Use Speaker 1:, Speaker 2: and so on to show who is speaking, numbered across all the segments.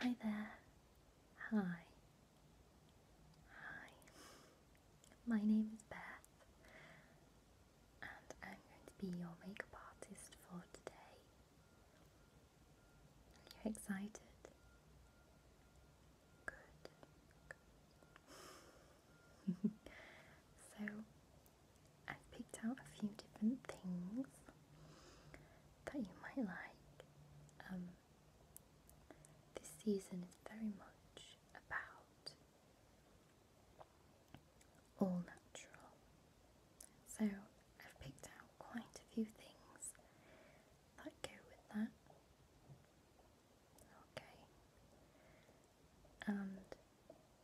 Speaker 1: Hi there. Hi. Hi. My name is Beth, and I'm going to be your makeup artist for today. Are you excited? Good. Good. so, I've picked out a few different things that you might like. Um, this season is very much about all natural. So I've picked out quite a few things that go with that. Okay. And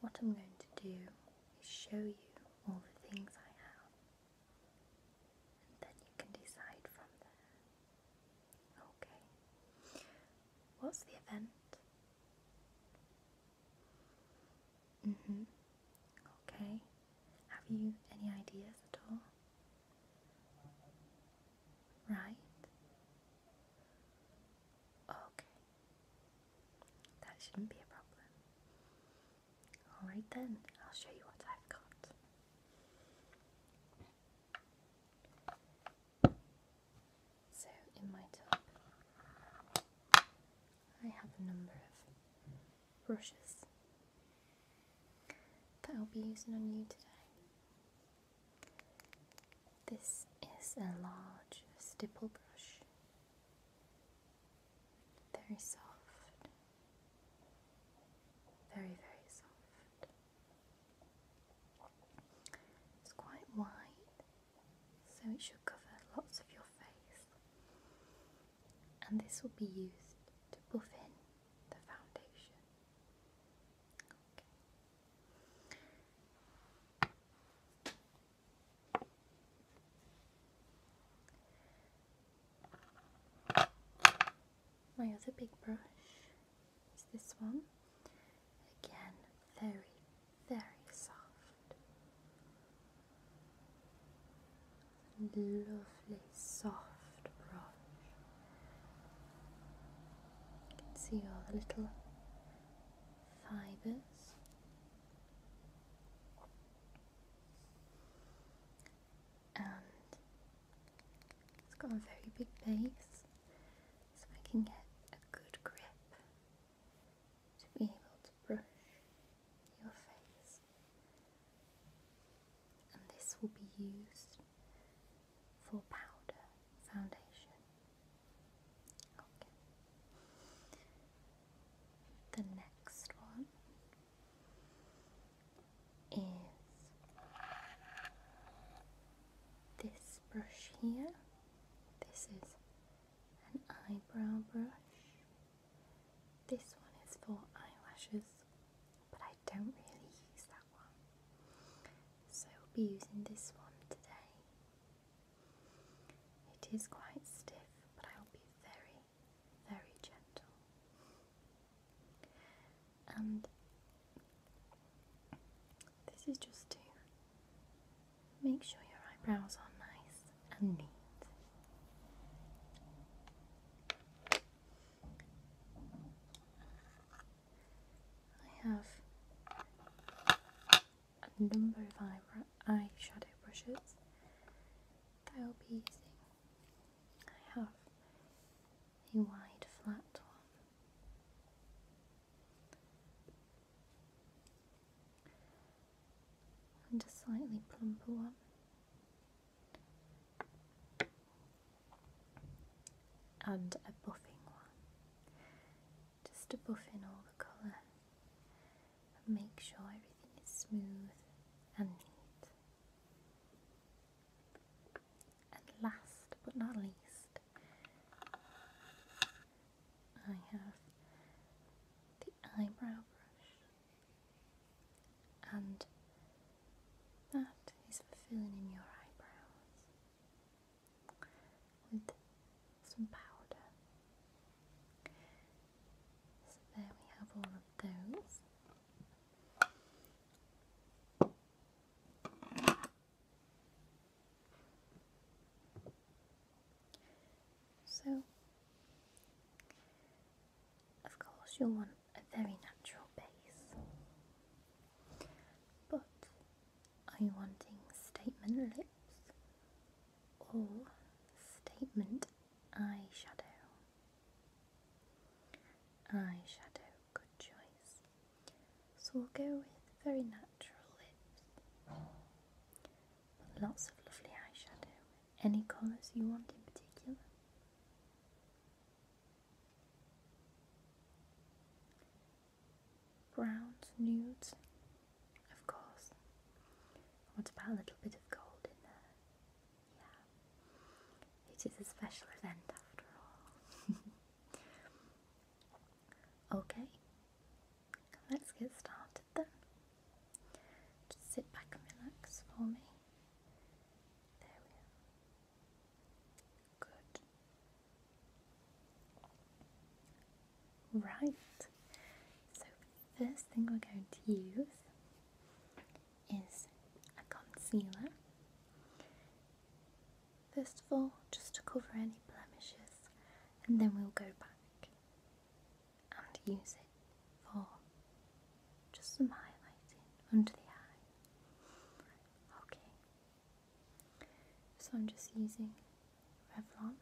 Speaker 1: what I'm going to do is show you all the things I have then you can decide from there. Okay. What's the event? Mhm. Mm okay. Have you any ideas at all? Right. Okay. That shouldn't be a problem. Alright then, I'll show you what I've got. So, in my tub, I have a number of brushes that I'll be using on you today. This is a large stipple brush, very soft, very, very soft. It's quite wide, so it should cover lots of your face, and this will be used to buff in the foundation. My other big brush is this one. Again, very, very soft. Lovely soft brush. You can see all the little fibres and it's got a very big base so I can get a good grip to be able to brush your face and this will be used for powder foundation okay the next one is this brush here. This is an eyebrow brush. This one is for eyelashes, but I don't really use that one. So I'll be using this one today. It is quite stiff, but I will be very, very gentle. And this is just to make sure your eyebrows are nice and neat. I have a number of eyebrow eyeshadow brushes I will be using. I have a wide flat one. And a slightly plumper one. And a buffing one. Just to buff in all the colour and make sure everything is smooth and neat. And last but not least, I have the eyebrow brush, and that is for filling in your eyebrows with some powder. So there we have all of those. So, of course, you'll want a very natural base, but are you wanting statement lips or statement eyeshadow. Eyeshadow, good choice. So we'll go with very natural lips. Lots of lovely eyeshadow. Any colours you want in particular? Browns, nudes, of course. What about a little bit of gold in there? Yeah. It is a special event after all. okay. Let's get started then. Just sit back and relax for me. There we are. Good. Right, so first thing we're going to use is a concealer. First of all, just to cover any blemishes, and then we'll go back and use it for just some highlighting under the eye. Okay, so I'm just using Revlon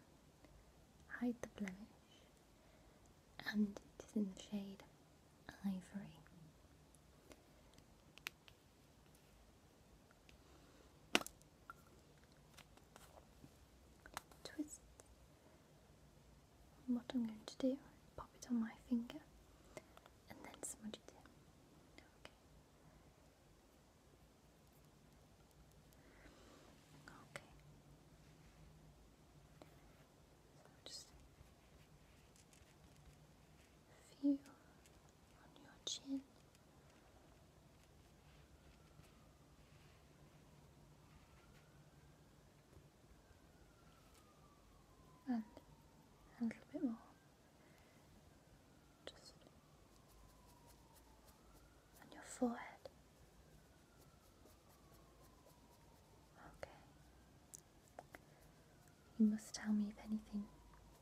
Speaker 1: Hide the Blemish and it is in the shade Ivory. Twist. what I'm going to do, pop it on my finger and then smudge it in. Okay. Okay. So just feel on your chin. And a little bit more. Just on your forehead. Okay. You must tell me if anything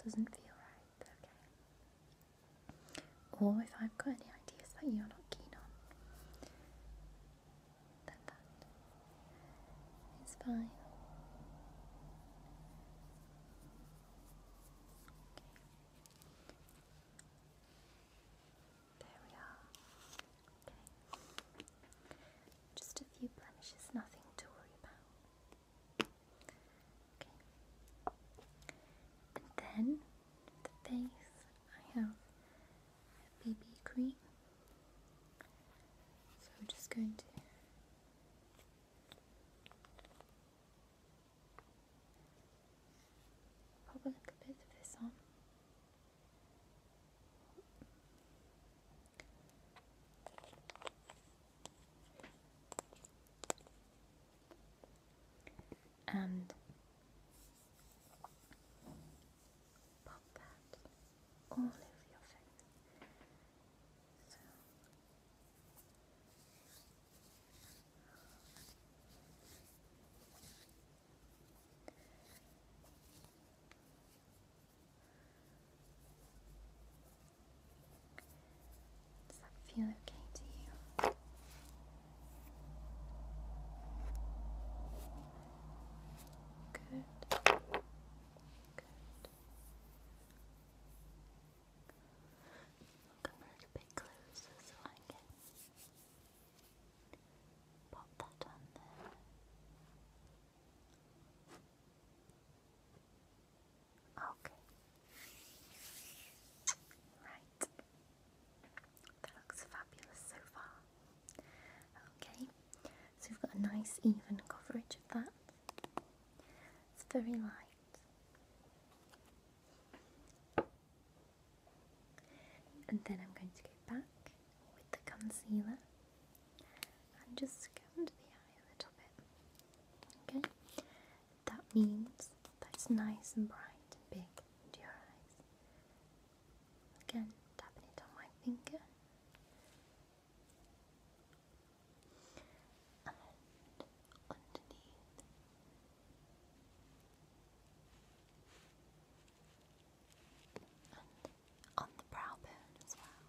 Speaker 1: doesn't feel right, okay? Or if I've got any ideas that you're not keen on, then that is fine. There we are. Okay. Just a few blemishes, nothing to worry about. Okay. And then the face, I have BB cream. So we're just going to Pop a little bit of this on. And pop that all over your face. Does that feel okay to you? Good. Good. Welcome for the big clues so I can pop that on there. Okay. Right. That looks fabulous so far. Okay. So we've got a nice even coverage of that. It's very light. And then I'm going to go back with the concealer and just go scound the eye a little bit. Okay? That means that it's nice and bright and big into your eyes. Again, tapping it on my finger underneath. And on the brow bone as well.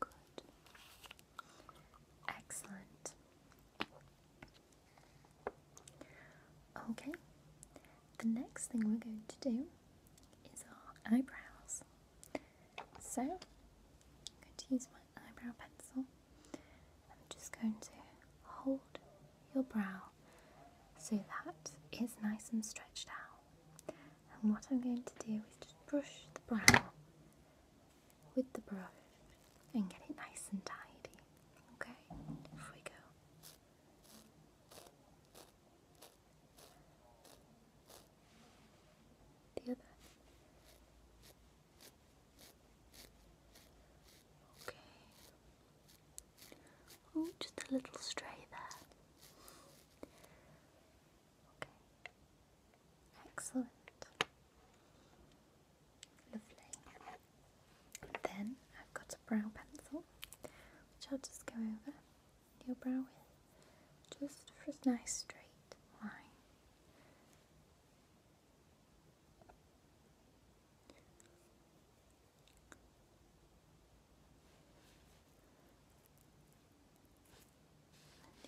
Speaker 1: Good. Excellent. Okay, the next thing we're going to do is our eyebrows. So, I'm going to use my eyebrow pencil. I'm just going to hold your brow so that is nice and stretched out. And what I'm going to do is just brush the brow with the brush and get it nice and tidy. Okay, off we go. The other. Okay. Oh, just a little stray there. Okay. Excellent. Lovely. Then I've got a brow pencil, which I'll just go over your brow with, just for a nice straight line.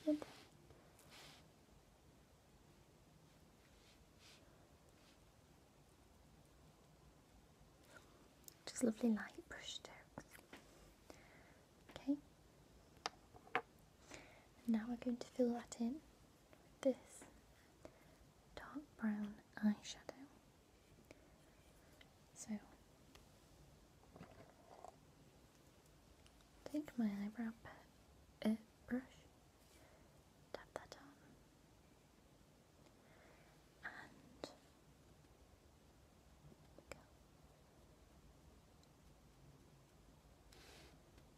Speaker 1: And just lovely light brush strokes. Okay. now we're going to fill that in with this dark brown eyeshadow. So take my eyebrow uh, brush tap that down. And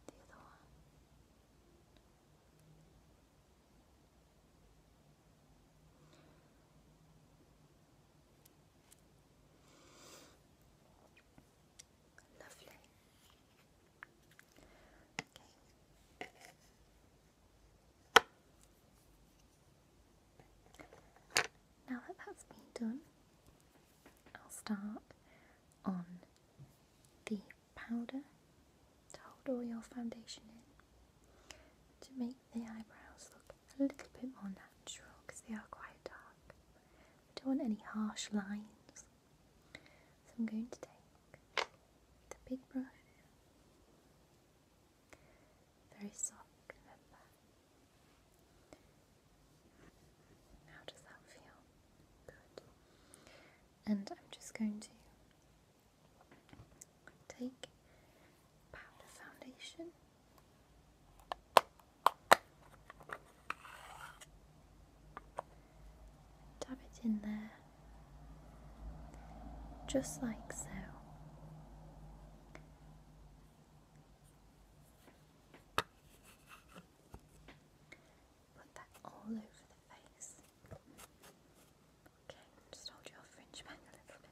Speaker 1: The other one. Lovely. Now that that's been done, I'll start on the powder to hold all your foundation in to make the eyebrows look a little bit more natural because they are quite dark. We don't want any harsh lines so I'm going to take the big brush, very soft, How does that feel? Good. And I'm just going to take powder foundation dab it in there, just like so. Put that all over the face. Okay, just hold your fringe back a little bit.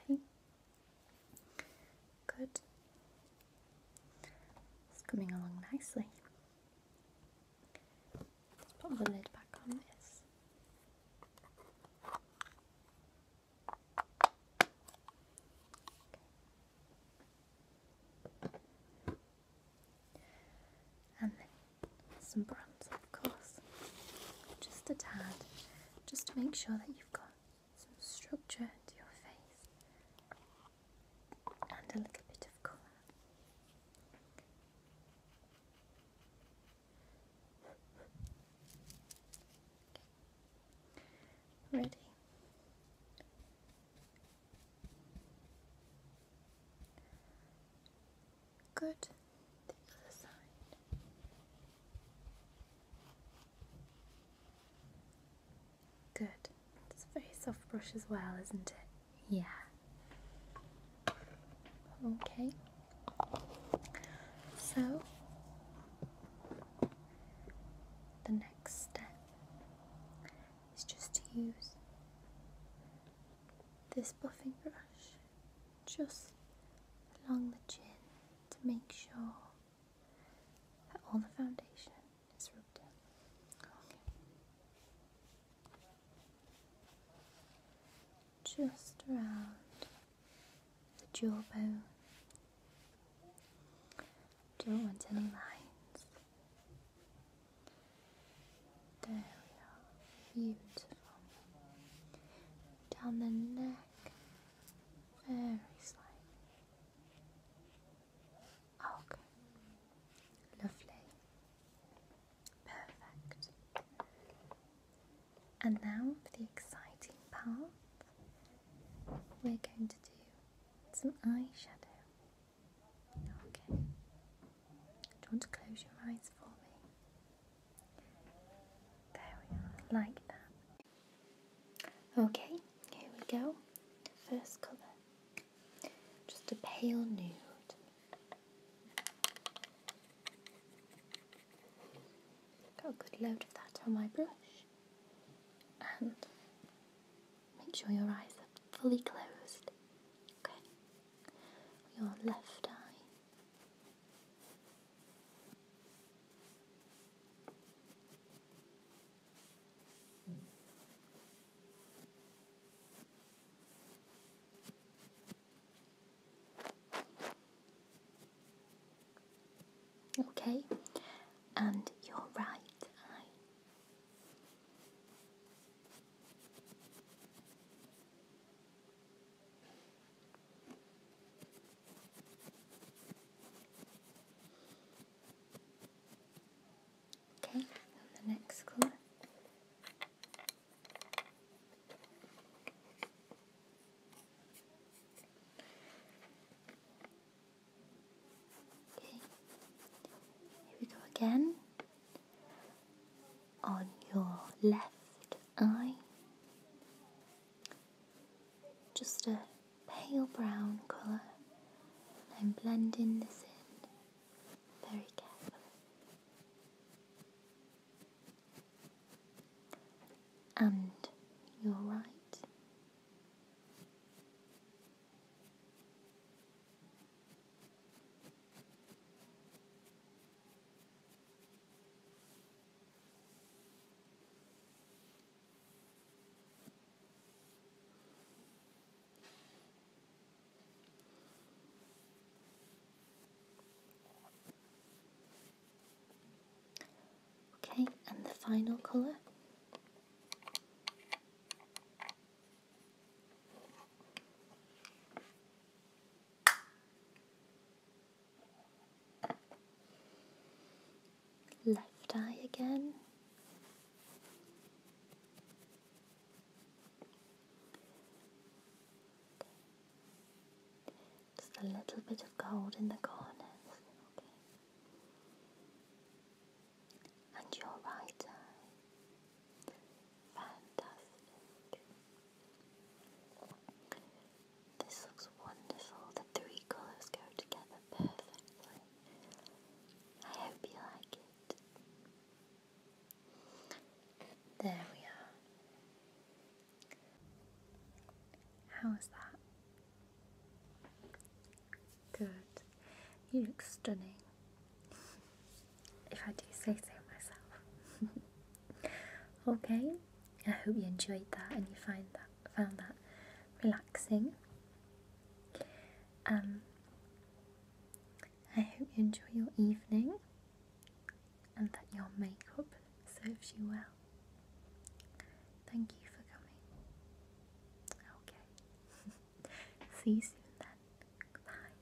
Speaker 1: Okay. Good. It's coming along nicely. Let's put the lid back on this. And then some bronzer, of course, just a tad, just to make sure that you've got some structure to your face and a little bit of colour. Ready? Good. The other side. Good. It's a very soft brush as well, isn't it? Yeah. Okay. So, the next step is just to use this buffing brush just along the chin to make sure that all the foundation is rubbed in. Just around the jawbone. Don't want any lines. There we are. Beautiful down the neck, very slightly. Okay, lovely, perfect. And now for the exciting part, we're going to do some eyeshadow. Okay, do you want to close your eyes for me? There we are, like that. Okay, here we go. First colour, just a pale nude. Got a good load of that on my brush. And make sure your eyes are fully closed. Okay, your left eye. Okay, and your right eye. Okay, the next colour. Okay, here we go again on your left eye. Just a pale brown colour. I'm blending this in very carefully. And your right. Okay, and the final colour. Left eye again. Just a little bit of gold in the corners. And your right eye. Fantastic. This looks wonderful. The three colours go together perfectly. I hope you like it. There we are. How's that? Good. You look stunning. if I do say so myself. okay, I hope you enjoyed that and you find that found that relaxing. Um, I hope you enjoy your evening and that your makeup serves you well. Thank you for coming. Okay. See you soon then. Goodbye.